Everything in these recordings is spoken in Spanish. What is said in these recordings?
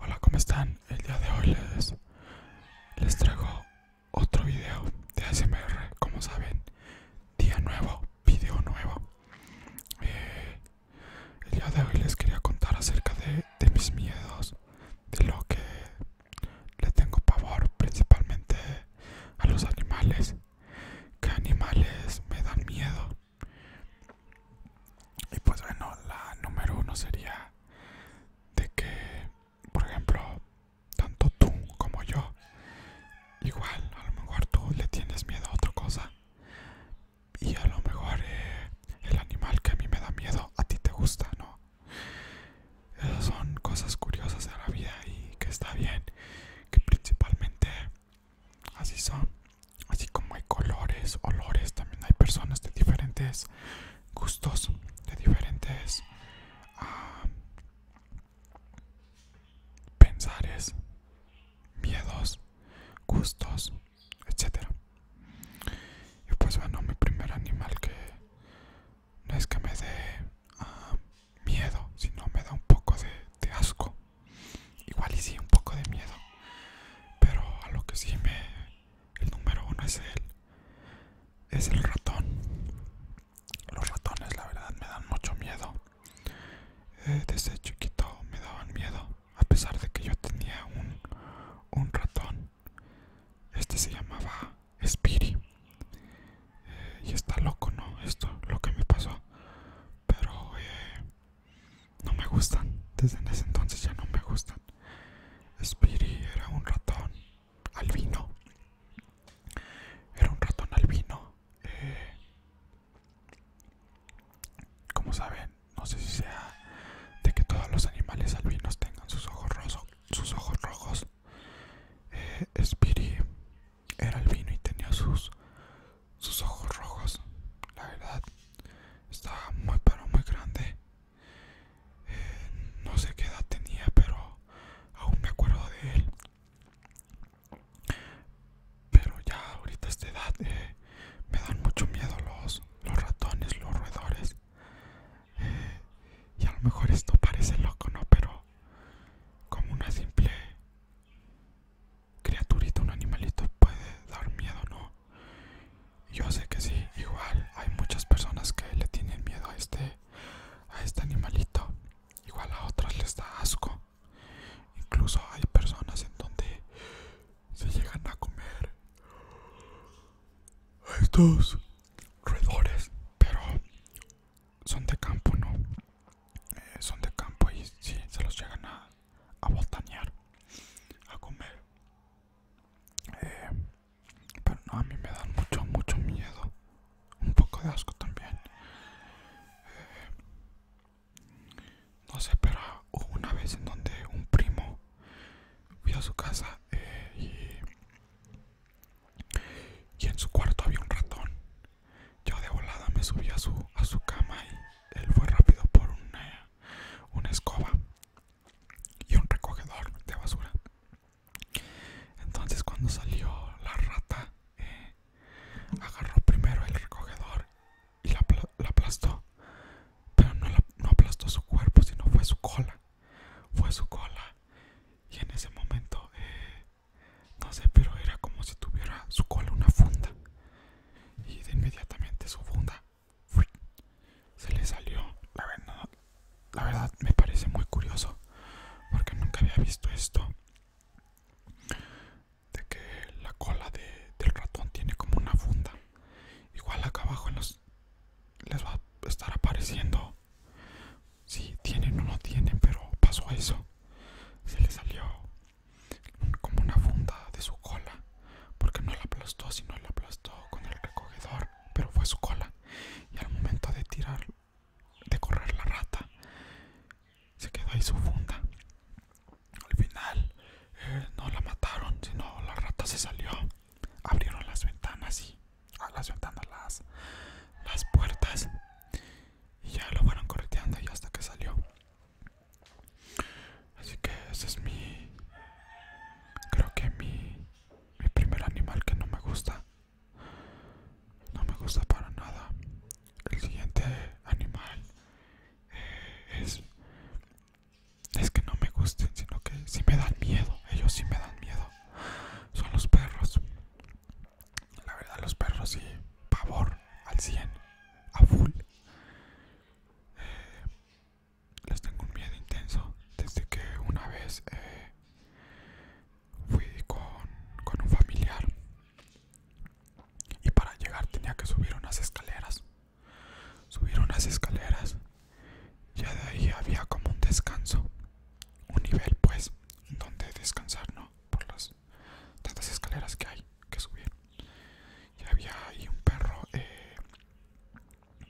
Hola, ¿cómo están? El día de hoy les, les traigo otro video de ASMR. Como saben, día nuevo, video nuevo. Eh, el día de hoy les quería contar acerca de, de mis miedos, de lo que le tengo pavor principalmente a los animales. Que animales me dan miedo. Y pues bueno, la número uno sería de que, por ejemplo, tanto tú como yo, igual a lo mejor tú le tienes miedo a otra cosa. Y a lo mejor eh, el animal que a mí me da miedo a ti te gusta, ¿no? Esas son cosas curiosas de la vida y que está bien, que principalmente así son. Así como hay colores, olores, también hay personas de diferentes gustos, de diferentes pensares, miedos, gustos, etcétera. Y pues bueno, mi primer animal que no es que me dé ah, miedo, sino me da un poco de, asco. Igual y sí, un poco de miedo. Pero a lo que sí me... El número uno es el... Es el ratón. Los ratones la verdad me dan mucho miedo. Eh, desde chiquito me daban miedo. A pesar de que yo tenía un ratón este se llamaba Spiri. Eh, y está loco, ¿no? Esto, lo que me pasó. Pero eh, no me gustan. Desde ese entonces ya no me gustan. Spiri era un ratón albino. Era un ratón albino. Eh, como saben, no sé si sea de que todos los animales albinos tengan sus ojos rosos sus ojos rojos. espiri eh, Era el vino y tenía sus, sus ojos rojos. La verdad, estaba muy, pero muy grande. Eh, no sé qué edad tenía, pero aún me acuerdo de él. Pero ya ahorita esta edad eh, me dan mucho miedo los, los ratones, los roedores. Y a lo mejor esto parece loco, ¿no? Pero como una simple criaturita, un animalito puede dar miedo, ¿no? Yo sé que sí, igual hay muchas personas que le tienen miedo a este, a este animalito. Igual a otras les da asco. Incluso hay personas en donde se llegan a comer a estos roedores, pero son de campo, ¿no? Eh, son de campo y si se los llegan a, a botanear, a comer. Eh, pero no, a mí me dan mucho, mucho miedo. Un poco de asco también. Eh, no sé, pero hubo una vez en donde un primo fui a su casa eh, y, en su cuarto había un ratón. Yo de volada me subí a su, a su cama y él fue rápido por una, escoba y un recogedor de basura. Entonces cuando salió la rata, eh, agarró primero el recogedor y la, la aplastó pero no, no aplastó su cuerpo, sino fue su cola. Fue su cola. Y en ese momento, eh, no sé, pero era como si tuviera su cola una funda. Y de inmediatamente su funda se le salió. La verdad, la verdad me parece muy curioso, porque nunca había visto esto. De que la cola del ratón tiene como una funda igual acá abajo les va a estar apareciendo si tienen o no tienen pero pasó eso se le salió como una funda de su cola porque no la aplastó sino la aplastó con el recogedor pero fue su cola y al momento de tirar de correr la rata se quedó ahí su funda al final no la mataron, sino la rata se salió. Abrieron las ventanas y ah, las ventanas las, las puertas y ya lo fueron correteando y hasta que salió. Así que ese es mi, creo que mi, mi primer animal que no me gusta. No me gusta para nada. El siguiente animal eh, es es que no me gusten, sino que sí me dan miedo. Ellos sí me dan miedo. Son los perros. La verdad, los perros sí. Pavor al 100, a full. Eh, les tengo un miedo intenso desde que una vez eh, fui con, con un familiar y para llegar tenía que subir unas escaleras Subieron las escaleras. Ya de ahí había como un descanso. Un nivel, pues, donde descansar, ¿no? Por las tantas escaleras que hay que subir. Y había ahí un perro eh,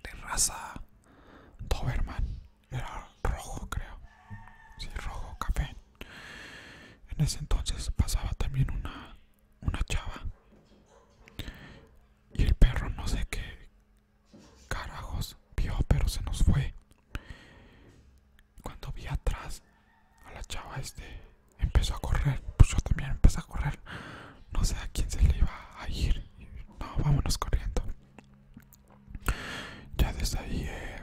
de raza Doberman. Era rojo, creo. Sí, rojo, café. En ese entonces pasaba también una una chava y el perro no sé qué carajos vio pero se nos fue cuando vi atrás a la chava este empezó a correr pues yo también empecé a correr no sé a quién se le iba a ir no vámonos corriendo ya desde ahí eh,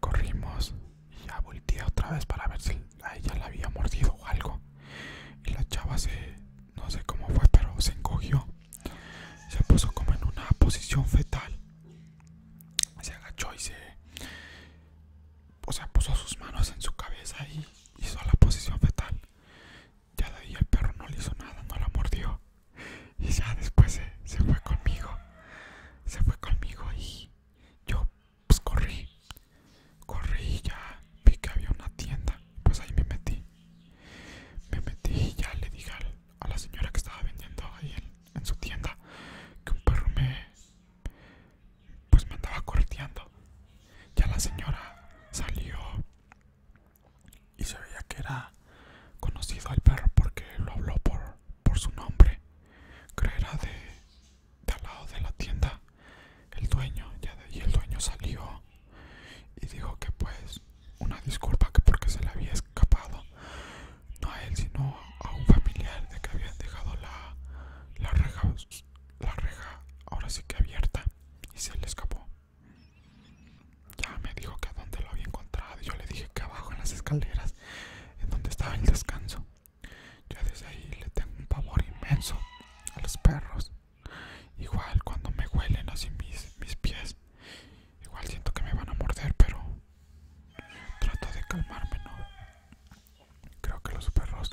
corrimos y ya volteé otra vez para ver si a ella la había mordido o algo. Y la chava se, no sé cómo fue, pero se encogió. Se puso como en una posición fetal. Se agachó y se... O sea, puso sus manos en su cabeza y hizo la posición fetal. Ya de ahí el perro no le hizo nada, no la mordió. Y ya después se, se fue conmigo. Se fue conmigo y yo pues corrí, corrí y ya vi que había una tienda, pues ahí me metí, me metí y ya le dije a la señora que estaba vendiendo ahí en, su tienda que un perro me, pues me andaba corteando ya la señora salió y se veía que era conocido al perro porque lo habló por, por su nombre, de, de al lado de la tienda el dueño, ya de el dueño salió y dijo que pues una disculpa que porque se le había escapado, no a él sino a un familiar de que habían dejado la, la reja, la reja ahora sí que abierta y se le escapó. Ya me dijo que a dónde lo había encontrado y yo le dije que abajo en las escaleras, en donde estaba el descanso. Yo desde ahí le tengo un pavor inmenso a los perros. Igual cuando me huelen así mis, mis pies, igual siento que me van a morder, pero trato de calmarme, ¿no? Creo que los perros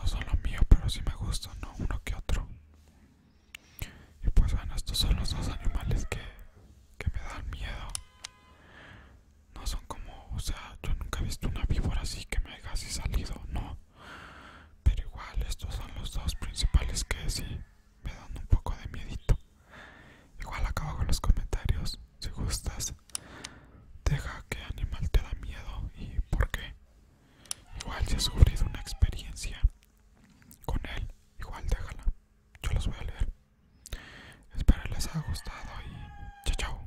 no son los mío, pero sí me gustan, ¿no? Uno que otro. Y pues bueno, estos son los dos animales que, que me dan miedo. No son como, o sea, yo nunca he visto una víbora así que me haya así salido, no. Pero igual, estos son los dos principales que sí me dan un poco de miedito. Igual acabo con los comentarios, si gustas. Deja que animal te da miedo y por qué. Igual si has sufrido una experiencia con él, igual déjala. Yo los voy a leer. Espero les haya gustado y chao chao.